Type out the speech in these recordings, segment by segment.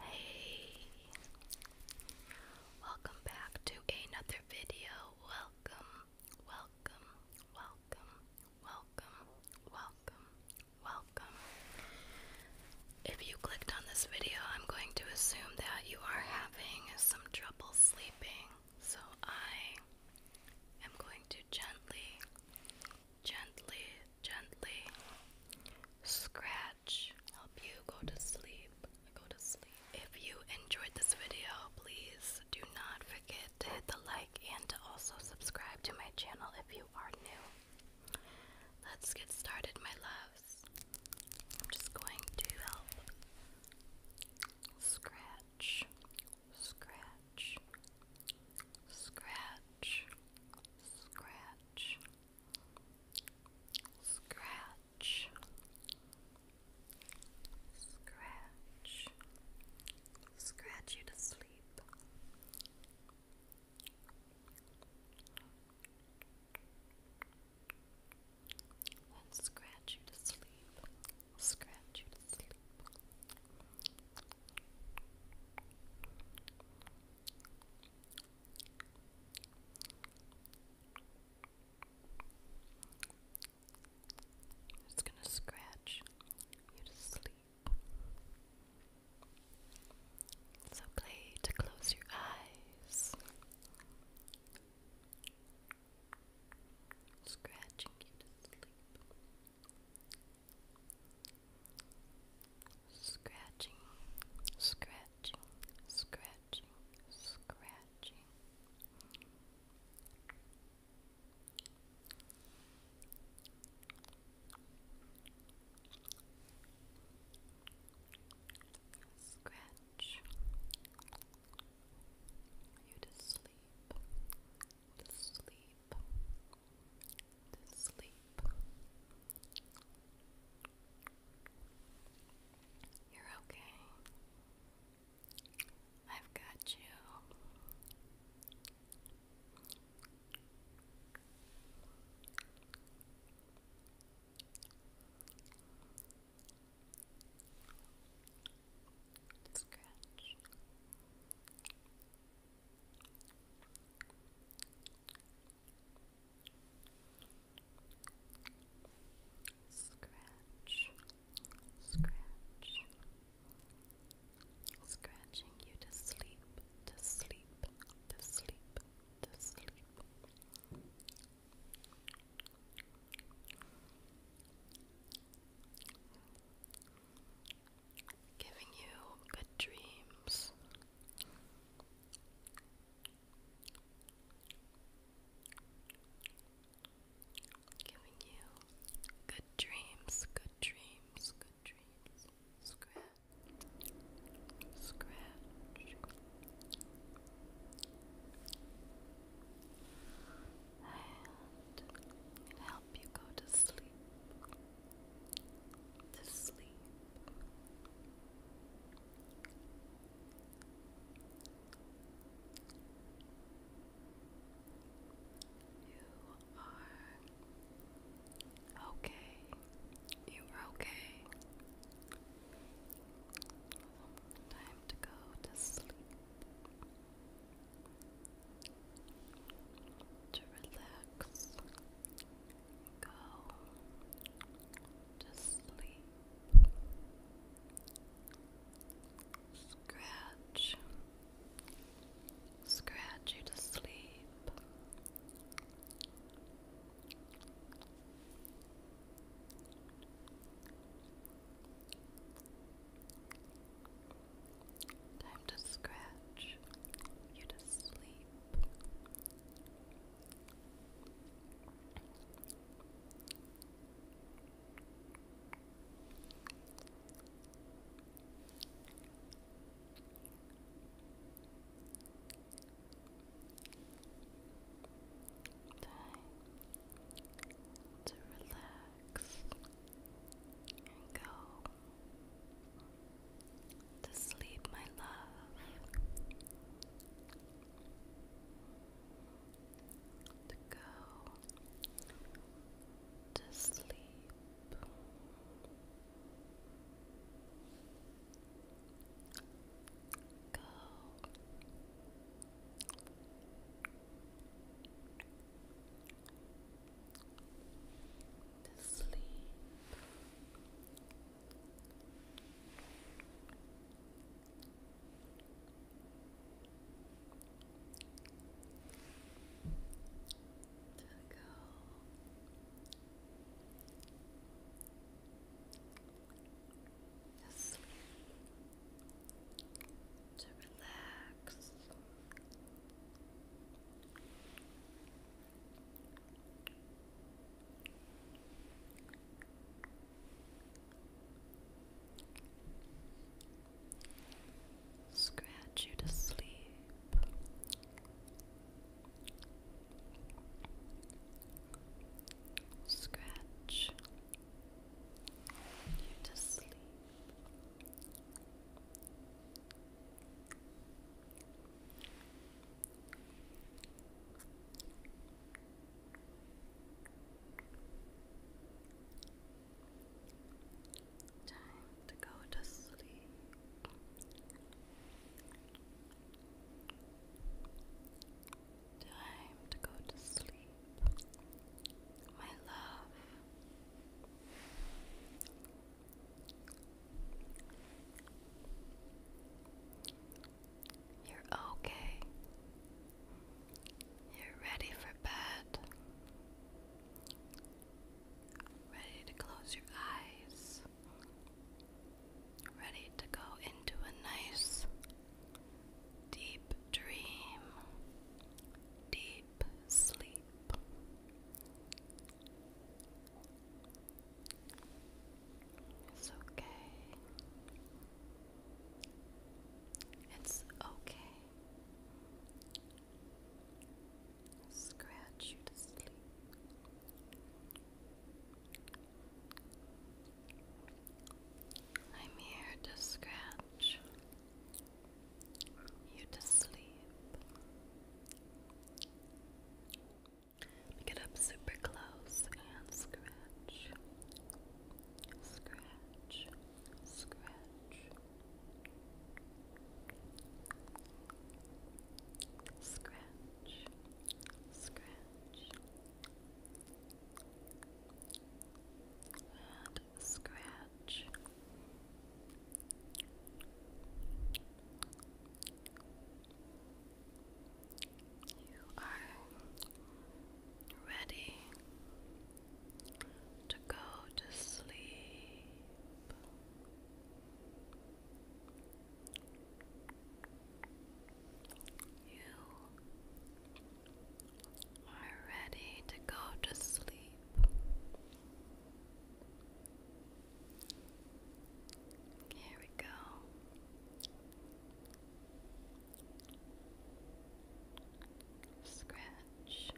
Hey, welcome back to another video. Welcome, welcome, welcome, welcome, welcome, welcome. If you clicked on this video, I'm going to assume that you are having some trouble sleeping, so I am going to gently gently, gently scratch, help you go to sleep. Go to sleep. If you enjoyed this video, please do not forget to hit the like and to also subscribe to my channel if you are new. Let's get started, my loves. I'm just going to help scratch, scratch, Scratch, scratch, scratch, scratch, scratch you to sleep. Then scratch you to sleep, scratch you to sleep, it's going to scratch you to sleep. It's okay to close your eyes. Scratching you to sleep. Scratching, scratching, scratching, scratching. Scratch you to sleep, to sleep, to sleep. You're okay. I've got you. Scratch. Scratch. Scratch, scratch, scratching you to sleep, to sleep, to sleep, to sleep giving you good dreams. Giving you good dreams, good dreams, good dreams. Scratch, scratch. And it help you go to sleep to sleep. You are okay. You are okay. Time to go to sleep to relax, go to sleep, scratch, scratch you to sleep. Time to scratch you to sleep. to relax and go to sleep, my love, to go to sleep. Go to sleep. To go to sleep, to relax, Scratch you to sleep. Scratch you to sleep. Time to go to sleep. Time to go to sleep. My love, you're okay. You're ready for bed. Ready to close your eyes. Ready to go into a nice deep dream. Deep sleep, It's okay. It's okay. Scratch you to sleep. I'm here to scratch you to sleep. Get up super close and scratch, scratch, scratch, scratch, scratch. And scratch. You are ready to go to sleep. You are ready to go to sleep. Here we go. Scratch.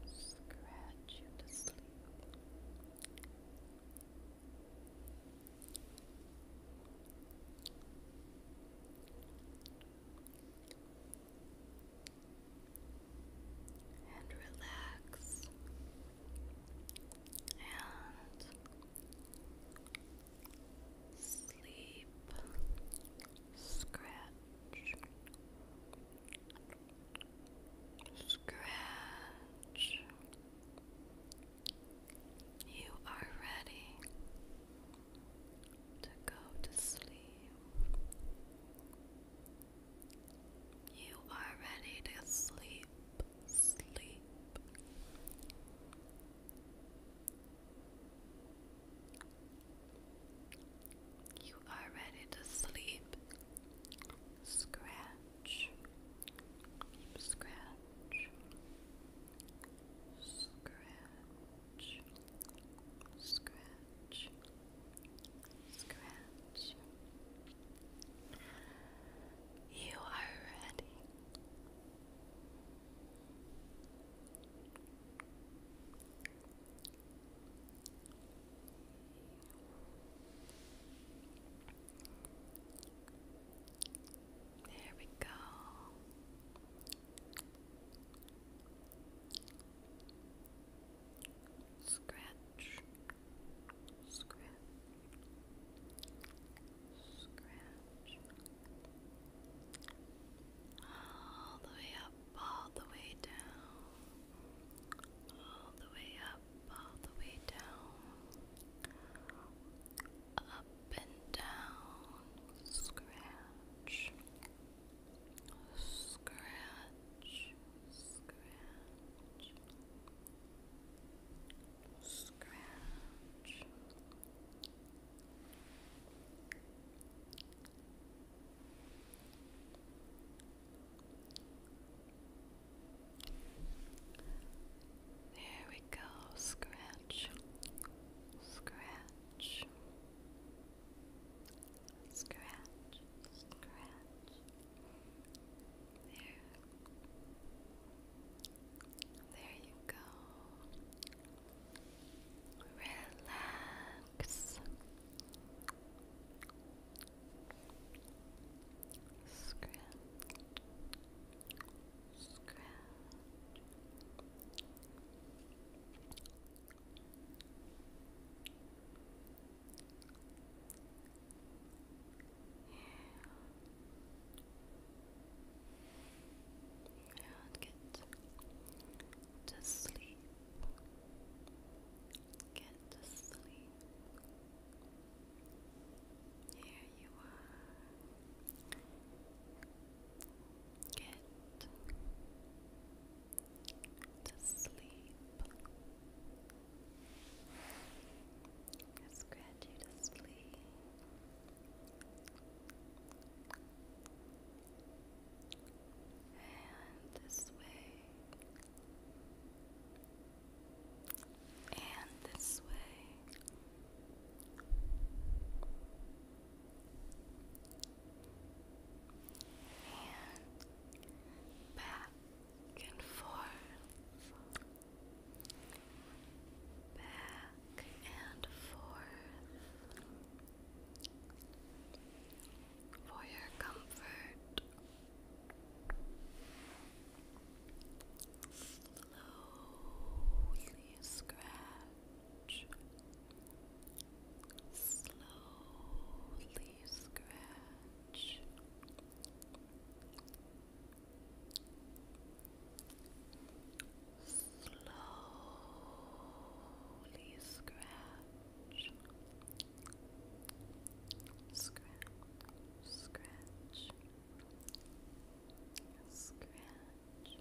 Scratch you to sleep and relax and sleep, scratch, scratch. You are ready to go to sleep. You are ready to sleep, sleep. You are ready to sleep. Scratch, keep scratch, Scratch, scratch, scratch. You are ready. There we go. Scratch, scratch, scratch, all the way up, all the way down, all the way up, all the way down, up and down, scratch, scratch, scratch, scratch. There we go, scratch scratch, scratch, scratch, There. There you go. Relax. scratch, and get to sleep. Get to sleep. Yeah you are. Get to sleep. I scratch you to sleep. And this way, and this way. And back and forth, back and forth for your comfort slowly scratch, slowly scratch. Slowly scratch, scratch, scratch, Scratch.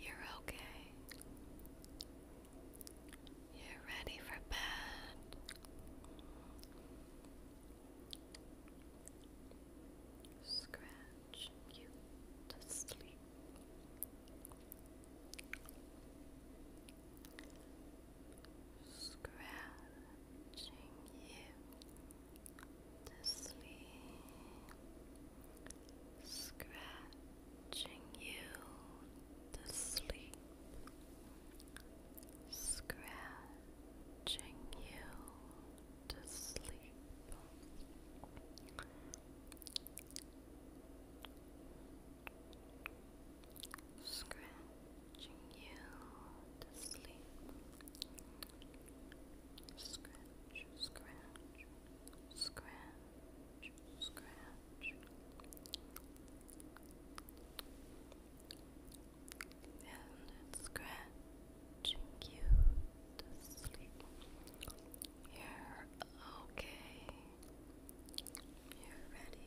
You're okay. You're ready for bed. Scratch you to sleep scratching you to sleep, scratching you to sleep, scratching you to sleep. Scratching Watching you to sleep. Scratch, scratch, scratch, scratch. And scratching you to sleep. You're okay. You're ready.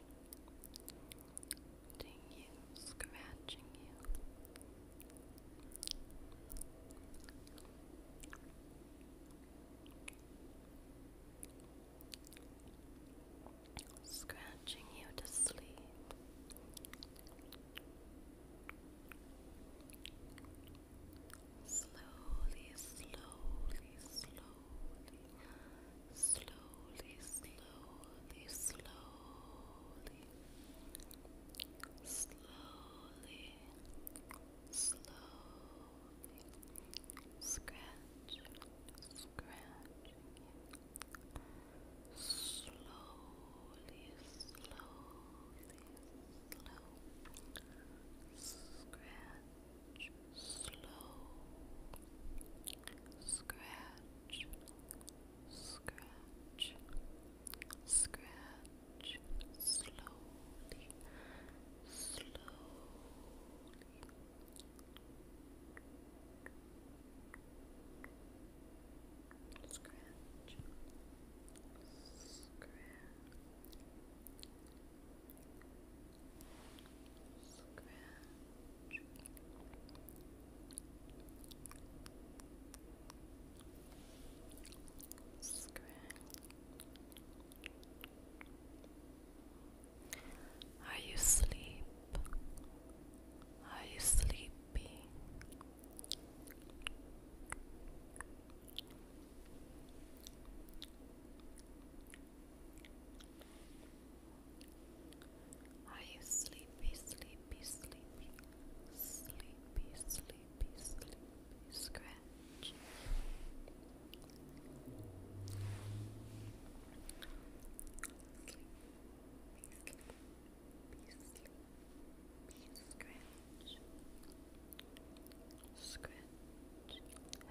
Scratching you, scratching you. to sleep. Slowly, slowly, slowly slowly, slowly, slowly, slowly, slowly, scratch, scratch, slowly, slowly, slow, scratch slow scratch scratch scratch slowly slowly Scratch, scratch, are you asleep? Are you sleepy? Are you sleepy, sleepy, sleepy? Sleepy, sleepy, sleepy. Scratch. Sleepy, Scratch. Scratch. Hello.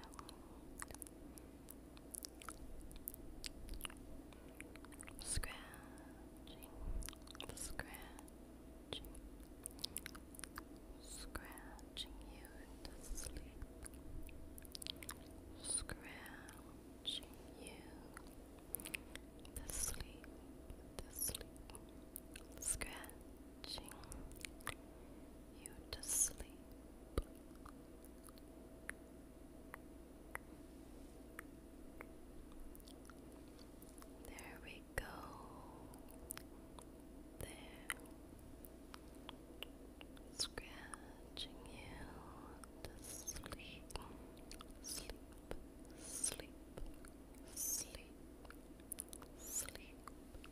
Scratching. Scratching. Scratching you into sleep. Scratching you to sleep. To sleep. Scratching you to sleep. There we go. There. Scratching you to sleep. Sleep, sleep, sleep, sleep,